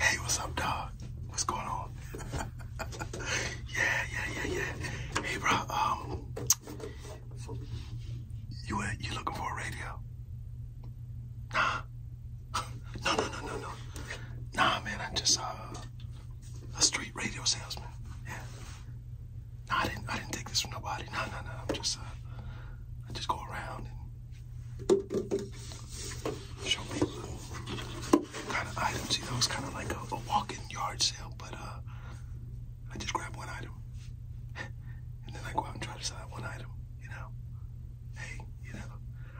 Hey, what's up, dog? What's going on? yeah, yeah, yeah, yeah. Hey, bro. Um, you uh, you looking for a radio? Nah. no, no, no, no, no. Nah, man. I'm just uh, a street radio salesman. Yeah. Nah, I didn't. I didn't take this from nobody. Nah, nah, nah. I'm just uh, I just go around Show people kind of items, you know, it's kind of like a walk-in yard sale, but uh, I just grab one item. and then I go out and try to sell that one item, you know? Hey, you know,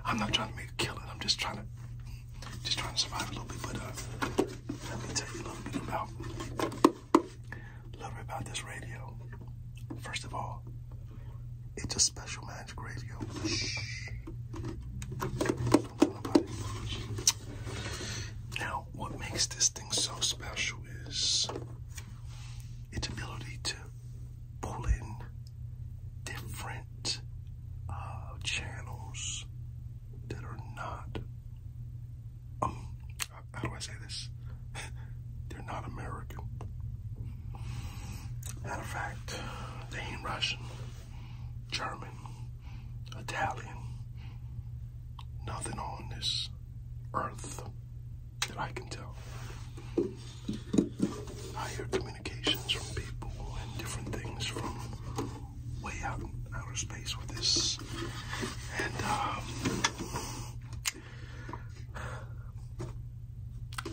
I'm not trying to make a killing. I'm just trying to, just trying to survive a little bit, but uh, let me tell you a little bit about, a little bit about this radio. First of all, it's a special magic radio. Now, what makes this thing so special is its ability to pull in different uh, channels that are not. Um, how do I say this? They're not American. Matter of fact, they ain't Russian, German, Italian, nothing on this earth that I can tell. I hear communications from people and different things from way out in outer space with this. Um,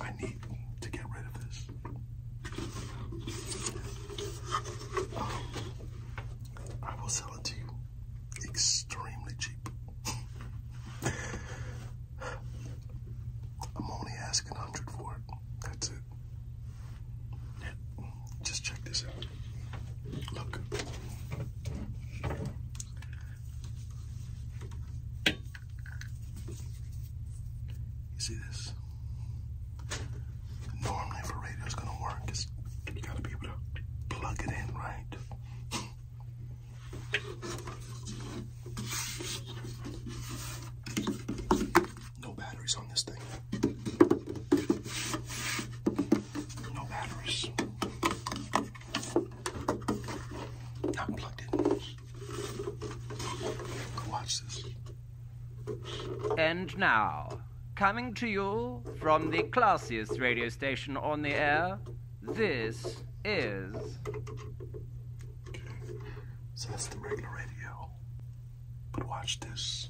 I need to get rid of this. I will sell it to you extremely cheap. I'm only asking 100 for it. That's it. Just check this out. Look. You see this? Normally, if a radio's gonna work, it's, you gotta be able to plug it in, right? No batteries on this thing. No batteries. And now, coming to you from the classiest radio station on the air, this is. So that's the regular radio. But watch this.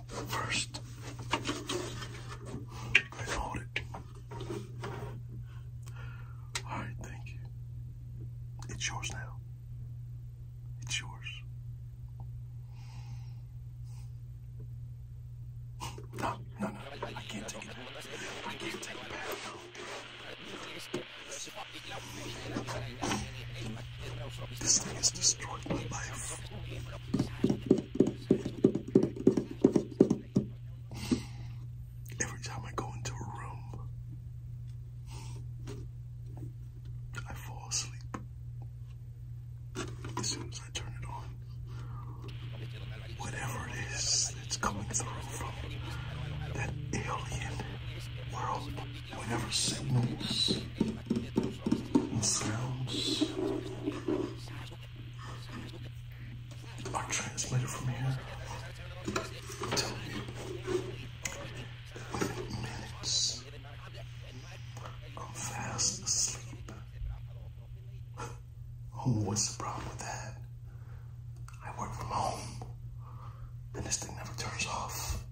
first and hold it. All right, thank you. It's yours now. It's yours. No, no, no. I can't take it. I can't take it this thing has destroyed my life. Every time I go into a room, I fall asleep. As soon as I turn it on, whatever it is that's coming through from that alien world, whatever signals sounds are translated from here. minutes I'm fast asleep. Oh, what's the problem with that? I work from home and this thing never turns off.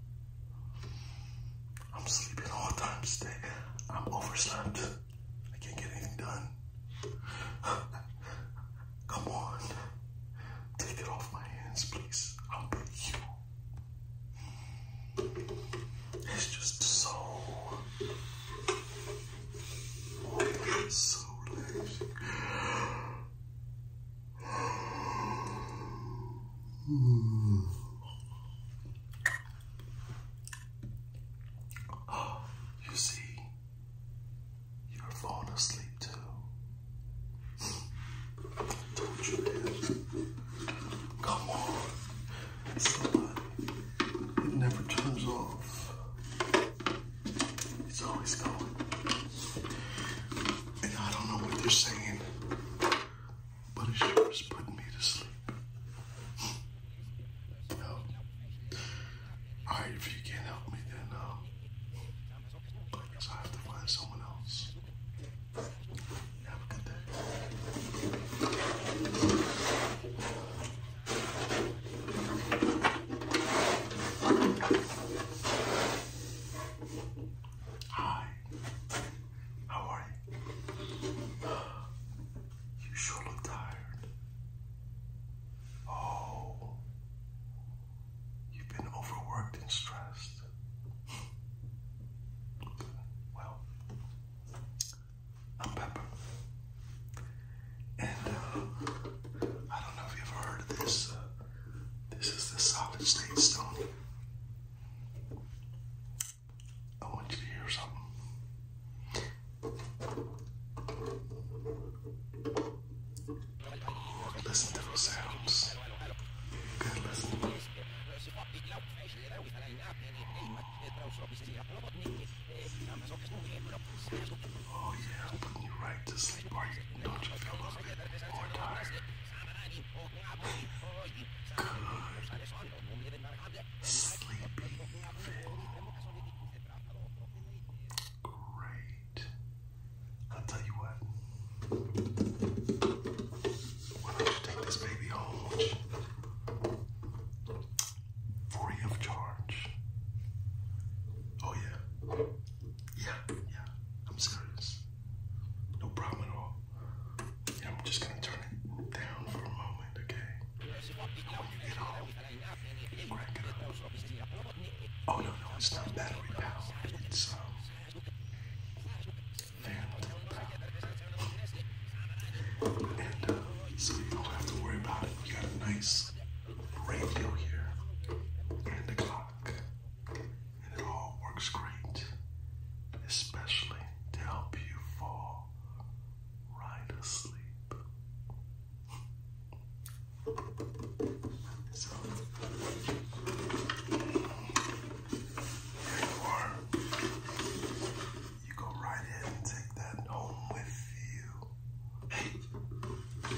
I'm sleeping all time today. I'm overslept. I can't get anything done. Come on. Take it off my hands, please. I'll put you. It's just so so relaxing. Hmm. you see, you're falling asleep too. Don't you, man? Come on, It never turns off. It's always going. And I don't know what they're saying but it sure is putting me to sleep. Well, all right, if you can't help me, then uh, I guess I have to find someone else. Have a good day. Hi. How are you? You sure look tired. Oh, you've been overworked and stressed. Well, I'm Pepper. And uh, I don't know if you've ever heard of this. Uh, this is the solid state stone. I want you to hear something. Listen to those sounds. Good listen. Oh yeah, putting you right to sleep. Are you, don't you feel a little bit more tired? God. Sleeping Great. i tell you what. Why don't you take this baby home? Free of charge. Oh yeah. Yeah, yeah. I'm serious. No problem at all. I'm just gonna turn it down for a moment, okay? When you get home, Oh no, no, it's not battery powered. It's um, phantom powered. And uh, so you don't have to worry about it. We got a nice radio here and clock. And it all works great, especially to help you fall right asleep. So, here you are. You go right in and take that home with you. Hey,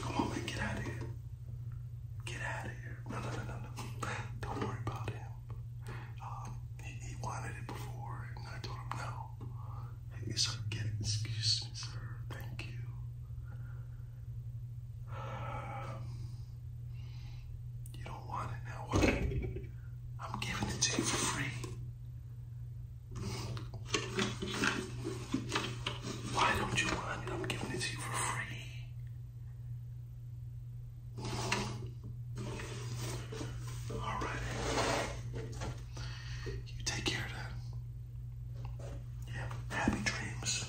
come on, man, get out Get out of here. No, no, no, no, no. Don't worry about him. Um, he, wanted it before, and I told him no. It's like, excuse me, sir. Thank you. you don't want it now, what? I'm giving it to you for free. Why don't you want it? I'm giving it to you for free. All right. You take care of that. Yeah. Happy dreams.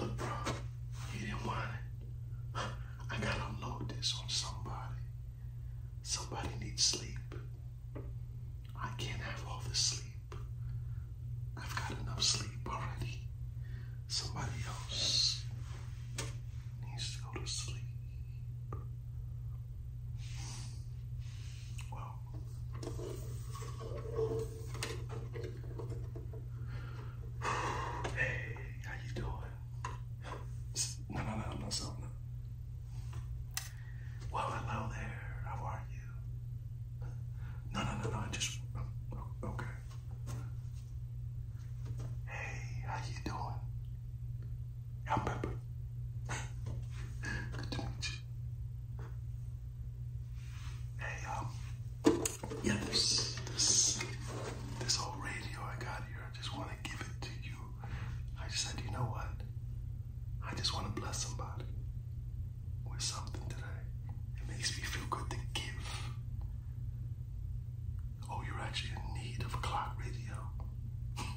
Look, bro, you didn't want it. I gotta unload this on somebody. Somebody needs sleep. I can't have all the sleep. I've got enough sleep already. Somebody else needs to go to sleep. Well, hey, how you doing? No, no, no, I'm not selling Well, hello there. How are you? No, no, no, no. just oh, okay. Hey, how you doing? I'm Pepper. Good to meet you. Hey, um, yeah, this, this, this old radio I got here, I just want to give it to you. I just said, you know what? I just want to bless somebody with something today. It makes me feel good to give. Oh, you're actually in need of a clock radio.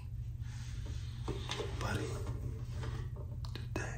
Buddy, today